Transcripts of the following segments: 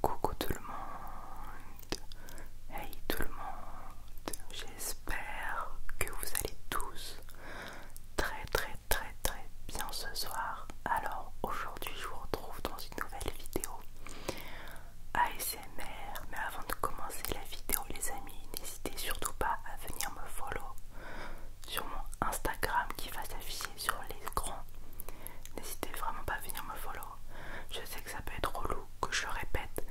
Coucou tout le monde, hey tout le monde, j'espère que vous allez tous très très très très bien ce soir. Alors aujourd'hui je vous retrouve dans une nouvelle vidéo ASMR, mais avant de commencer la vidéo les amis, n'hésitez surtout pas à venir me follow sur mon Instagram qui va s'afficher sur l'écran. N'hésitez vraiment pas à venir me follow je sais que ça peut être relou, que je répète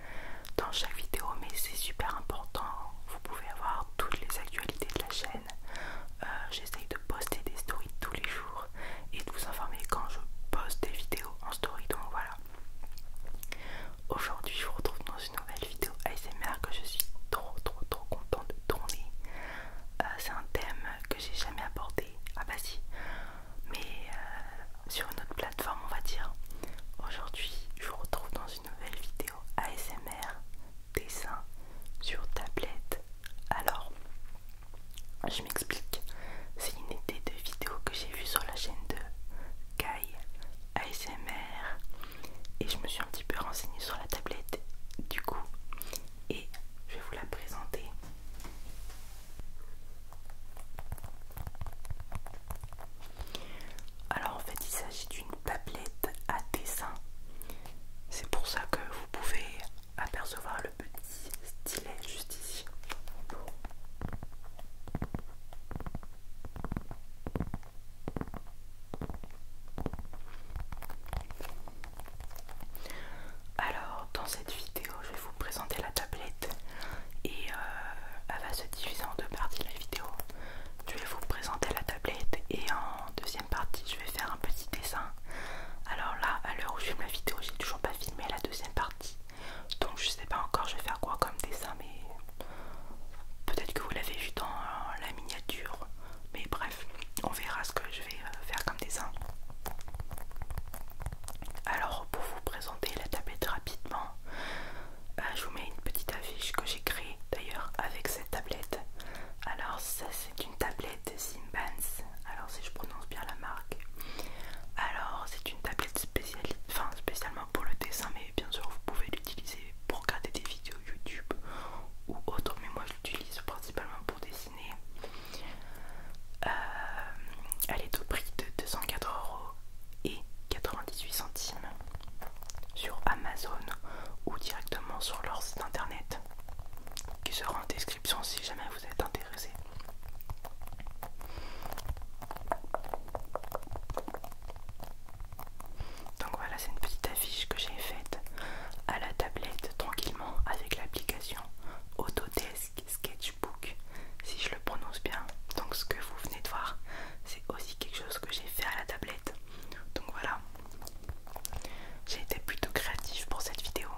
dans chaque vidéo, mais c'est super important. Vous pouvez avoir toutes les actualités de la chaîne. Euh, j'essaye de poster des stories tous les jours et de vous informer quand je poste des vidéos en story. Donc voilà. Aujourd'hui, je vous retrouve dans une nouvelle vidéo ASMR que je suis trop trop trop contente de tourner. Euh, c'est un thème que j'ai jamais abordé. Ah bah si, mais euh, sur une autre plateforme, on va dire. Aujourd'hui, je vous retrouve dans une nouvelle vidéo ASMR dessin sur tablette. Alors, je m'explique. C'est une idée de vidéo que j'ai vue sur la chaîne de Kai ASMR et je me suis un petit peu renseignée sur la tablette. Du coup, et je vais vous la présenter. Alors en fait il s'agit d'une tablette à dessin. C'est pour ça que vous pouvez apercevoir le petit stylet juste ici. Alors dans cette vidéo je vais vous présenter la tablette et euh, elle va se diviser en deux parties la vidéo. Je vais vous présenter la tablette et en deuxième partie je vais faire un petit dessin. Alors là à l'heure où je filme la vidéo j'ai toujours pas filmé la deuxième partie. Donc je sais pas encore je vais faire quoi comme dessin mais peut-être que vous l'avez vu dans euh, la miniature. Mais bref on verra ce que je vais euh, faire comme dessin. Alors, pour vous présenter la tablette rapidement, euh, je vous mets une petite affiche que j'ai créée d'ailleurs avec cette tablette. Alors, ça c'est une tablette Simbans. Alors, si je prononce bien la marque. Alors, c'est une tablette enfin, spécialement pour le dessin, mais bien sûr, vous pouvez l'utiliser pour regarder des vidéos YouTube ou autre. Mais moi, je l'utilise principalement pour dessiner. Euh, elle est au prix de 204 euros et 98 centimes sur Amazon ou directement sur leur site internet qui sera en description si jamais vous êtes intéressé. Donc voilà, c'est une petite affiche que j'ai faite à la tablette tranquillement avec l'application Autodesk Sketchbook, si je le prononce bien. Donc ce que vous venez de voir, c'est aussi quelque chose que j'ai fait à la tablette. Donc voilà, j'ai été plutôt créative pour cette vidéo.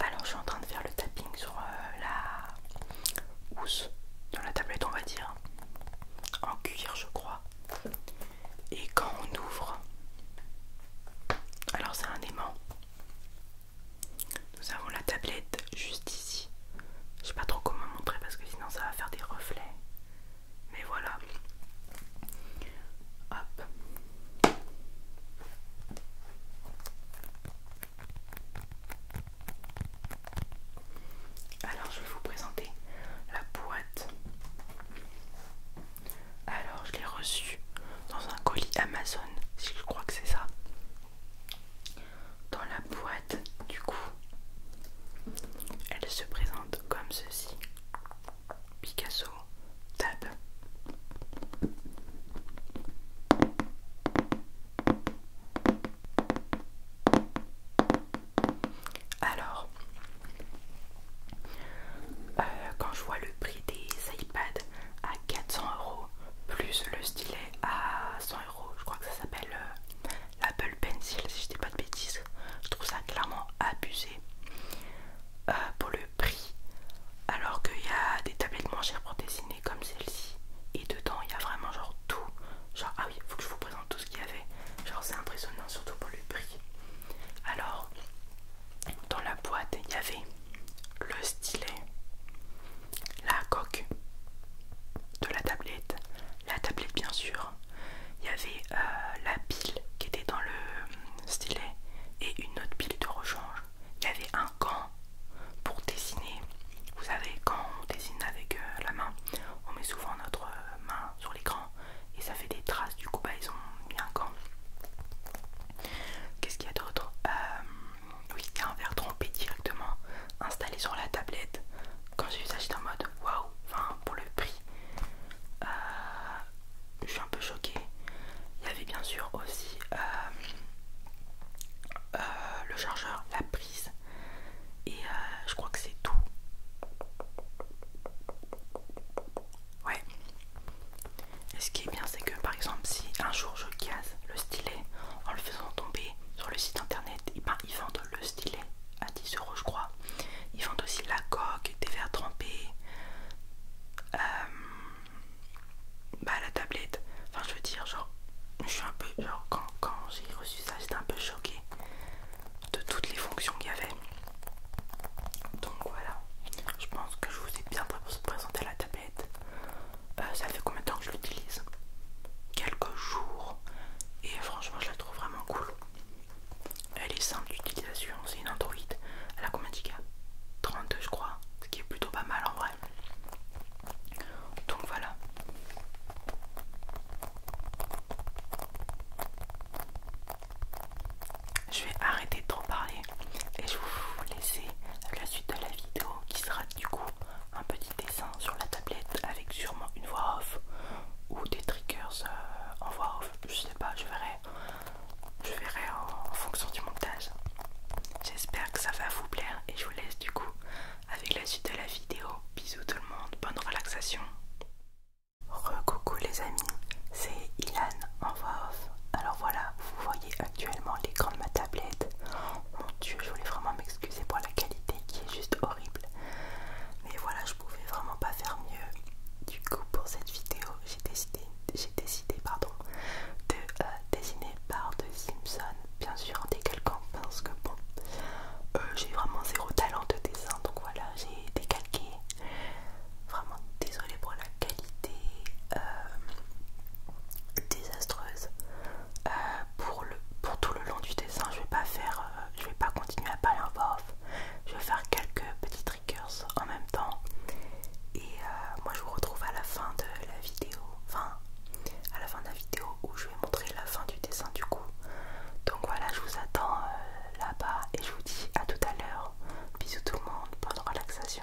Alors je suis en train de faire le tapping sur euh, la housse de la tablette, on va dire, en cuir je crois et quand on ouvre, alors c'est un aimant. Nous avons la tablette juste ici. Je sais pas trop comment montrer parce que sinon ça va faire des reflets. Mais voilà. Hop. Alors je vais vous présenter la boîte. Alors je l'ai reçue dans un colis Amazon, si je crois que c'est ça. Dans la boîte, du coup, elle se présente comme ceci. Picasso, tab. Alors, euh, quand je vois le prix des iPads à 400 euros plus le stylet à 100 euros, je crois que ça s'appelle euh, l'Apple Pencil si je dis pas de bêtises, je trouve ça clairement abusé euh, pour le prix. Alors qu'il y a des tablettes moins chères pour dessiner comme celle-ci, et dedans il y a vraiment genre tout. Genre, ah oui, faut que je vous présente tout il y avait. Genre c'est impressionnant surtout pour le prix. Alors dans la boîte il y avait le stylet, la coque de la tablette, la tablette bien sûr. Il y avait euh, la pile qui était dans le euh, stylet et une autre pile de rechange. Il y avait un gant pour dessiner. Vous savez quand on dessine avec euh, la main, on met souvent notre main sur l'écran et ça fait des traces du coup bah ils ont mis un qu'est-ce qu'il y a d'autre euh, oui il y a un verre trompé directement installé sur la tablette quand j'ai vu ça en mode waouh enfin pour le prix euh, je suis un peu choquée il y avait bien sûr aussi euh, le chargeur, la prise et je crois que c'est tout Ouais. Et ce qui est bien, c'est que par exemple, si un jour je casse le stylet en le faisant tomber sur le site internet, eh ben, ils vendent le stylet à 10 euros, je crois. Ils vendent aussi la coque, des verres trempés, euh, bah, la tablette. Enfin, je veux dire, genre, je suis un peu, quand, quand j'ai reçu ça, j'étais un peu choquée de toutes les fonctions qu'il y avait. Donc voilà, je pense que je vous ai bien pour présenter la tablette. Euh, ça fait combien de temps que je l'utilise Quelques jours. Et franchement, je la trouve vraiment cool. Elle est simple d'utilisation, c'est une Android. Elle a combien de gigas 32 je crois, ce qui est plutôt pas mal en vrai. Donc voilà. Je vais arrêter de trop parler et je vous laisser la suite de la vidéo qui sera du coup un petit dessin sur la tablette avec sûrement une voix off ou des triggers euh, en voix off. Je sais pas, je verrai, je verrai en fonction du montage. J'espère que ça va vous plaire et je vous laisse du coup avec la suite de la vidéo. Bisous tout le monde, bonne relaxation. Re-coucou les amis, c'est Ilan en voix off. Alors voilà, vous voyez actuellement l'écran de ma tablette. Mon dieu, je voulais vraiment m'excuser pour la qualité qui est juste horrible. Mais voilà, je pouvais vraiment pas faire mieux. Du coup, pour cette vidéo, j'ai décidé, j'ai décidé pardon, de euh, dessiner par de Simpson, bien sûr en quelqu'un parce que bon, euh, j'ai vraiment zéro talent de dessin, donc voilà, j'ai décalqué. Vraiment désolé pour la qualité euh, désastreuse. Euh, pour, le, pour tout le long du dessin, je vais pas faire, euh, je vais pas continuer à parler en voix Je vais faire quelques petits triggers en même temps. Et moi, je vous retrouve à la fin de la vidéo, enfin à la fin de la vidéo où je je vais montrer la fin du dessin du coup. Donc voilà, je vous attends euh, là-bas et je vous dis à tout à l'heure. Bisous tout le monde, bonne relaxation.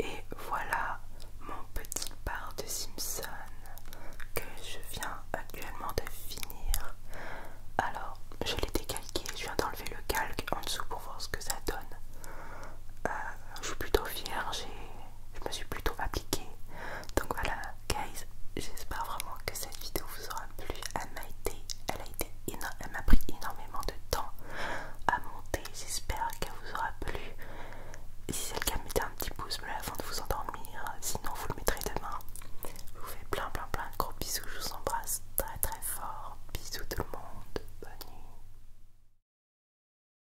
Et voilà mon petit bar de Simpson que je viens actuellement de finir. Alors, je l'ai décalqué, je viens d'enlever le calque en dessous pour voir ce que ça donne. Euh, je suis plutôt fière, j'ai je me suis plutôt appliquée. Donc voilà, guys, j'espère vraiment que cette vidéo vous aura plu. Elle m'a été, elle a été, elle m'a pris énormément de temps à monter. J'espère qu'elle vous aura plu. si c'est le cas, mettez un petit pouce bleu avant de vous endormir. Sinon, vous le mettrez demain. Je vous fais plein, plein, plein de gros bisous. Je vous embrasse très, très fort. Bisous tout le monde. Bonne nuit.